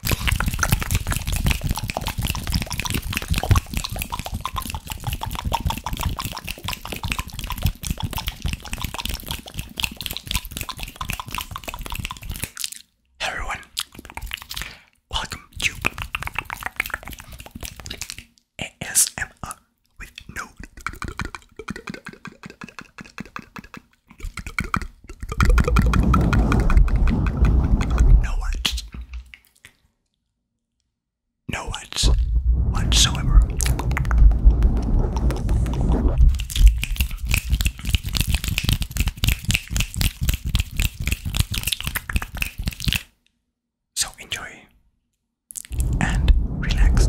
Hey everyone, welcome to ASMR with no no words. No words whatsoever. So enjoy and relax.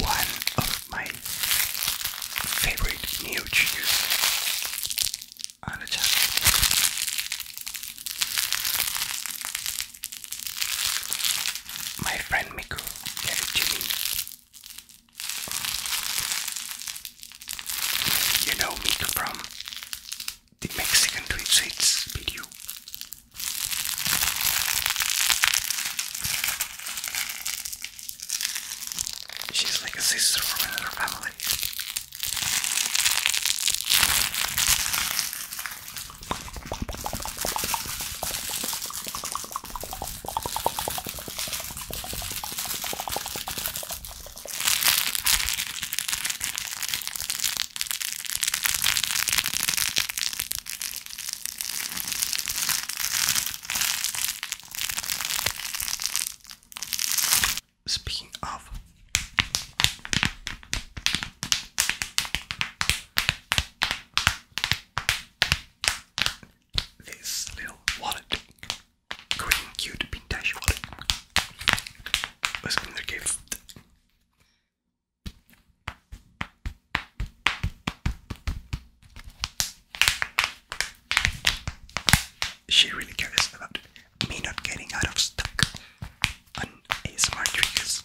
One of my favorite new shoes on My friend Miku gave it to me. You know me from the Mexican Tweet video. She's like a sister to me and her family. Speaking of, this little wallet green cute pintaş var. Özgünler keyifli. She really cares about me not getting out of stuck on ASMR triggers.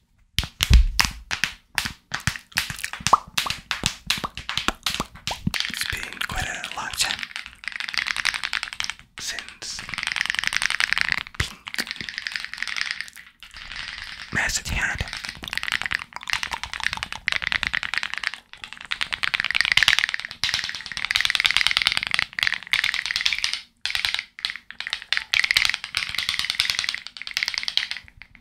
It's been quite a long time since Pink Message had.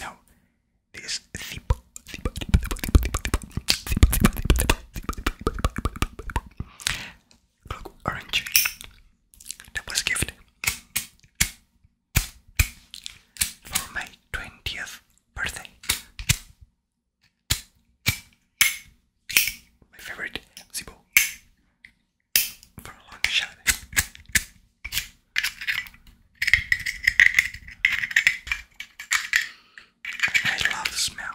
Now, this zip, zip, Look, orange. That was a gift for my twentieth birthday. My favorite Zibo for a long shot. I love the smell.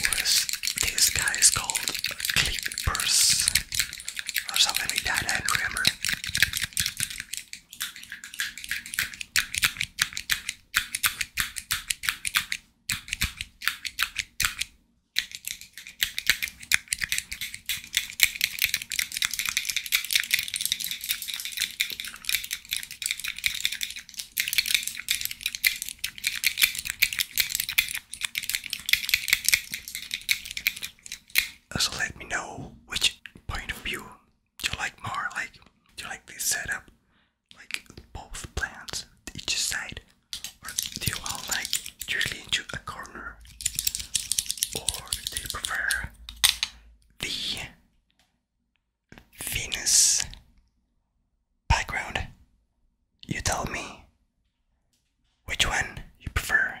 Whereas this guy is called Clippers or something like that, remember. So let me know which point of view do you like more. Like, do you like this setup, like both plants each side, or do you all like usually into a corner, or do you prefer the Venus background. You tell me which one you prefer.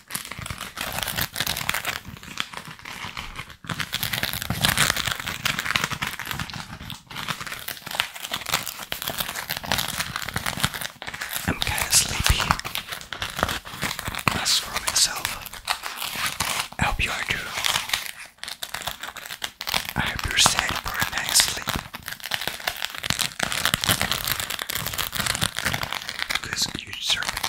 I'm kind of sleepy. That's for myself. I hope you are too. I hope you're set for a nice sleep. Because because you deserve it.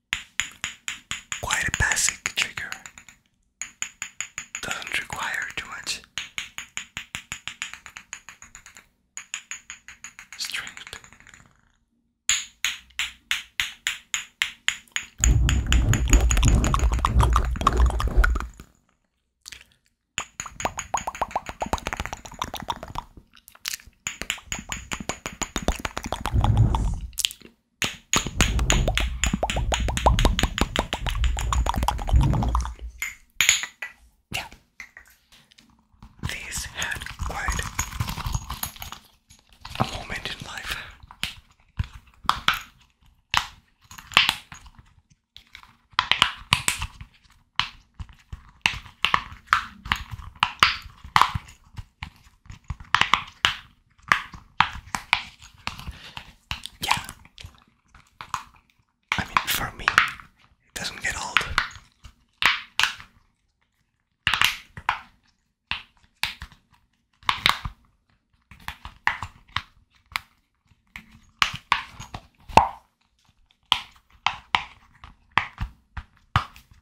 Quite a basic trigger. Doesn't require too much strength. Yeah. These had quite a moment in life. Yeah. I mean, for me, it doesn't get old.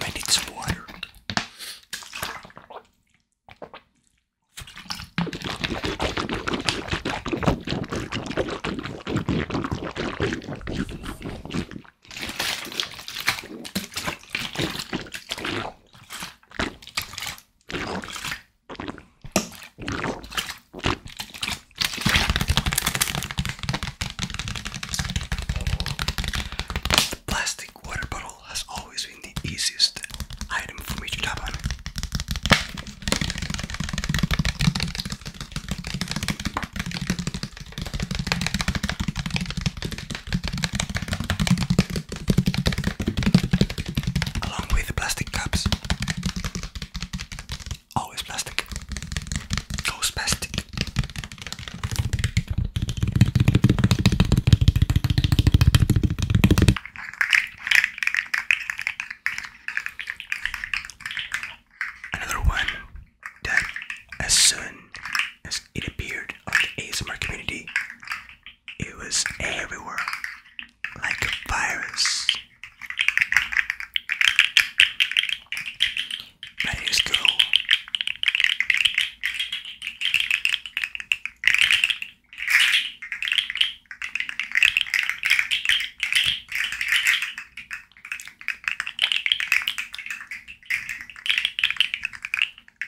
I need some water. The plastic water bottle has always been the easiest item for me to tap on. Along with the plastic cups. Always plastic. Goes plastic. Another one that as soon as it appeared on the ASMR community, it was everywhere like a virus. My name is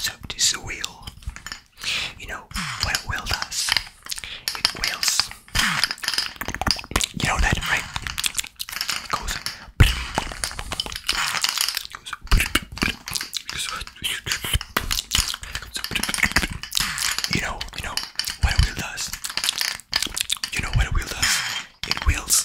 So this wheel. You know what a does? It wheels. You know that, right? You know, you know what a wheel does. You know what a wheel does. It wheels.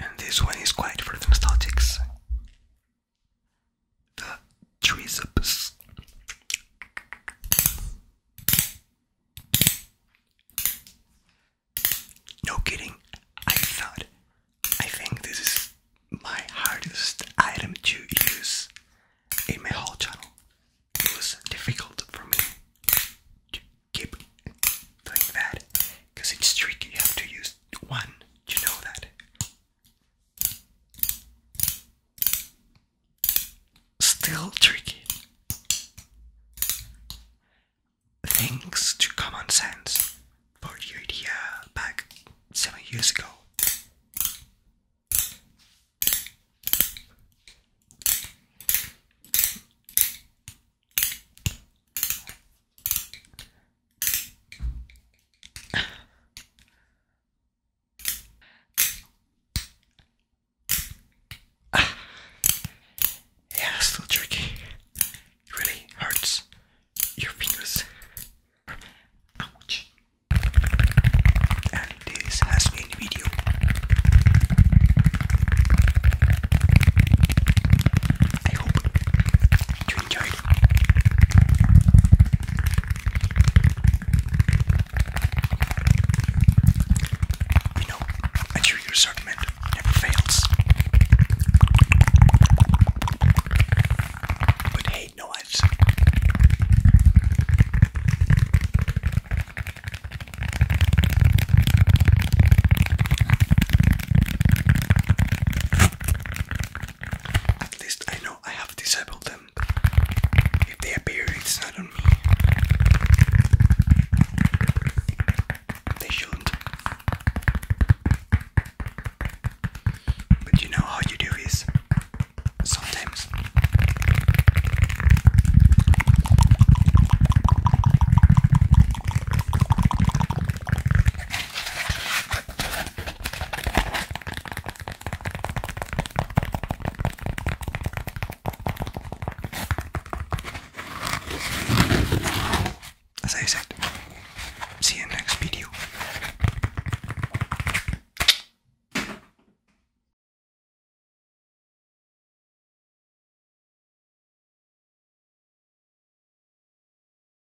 And this one is quite for the nostalgics the triceps. No kidding, I thought, I think this is my hardest item to use in my whole channel. It was difficult for me to keep doing that because it's tricky, you have to use one to know that. Still tricky. Thanks to common sense for the idea back seven years ago. Yeah, still tricky. really hurts your fingers. Ouch. And this has been the video. I hope you enjoyed. You know, a trigger never fails. But hey, no ads. At least I know I have disabled them. If they appear, it's not on me. They shouldn't. But you know how you do this sometimes. As I said, see you next video.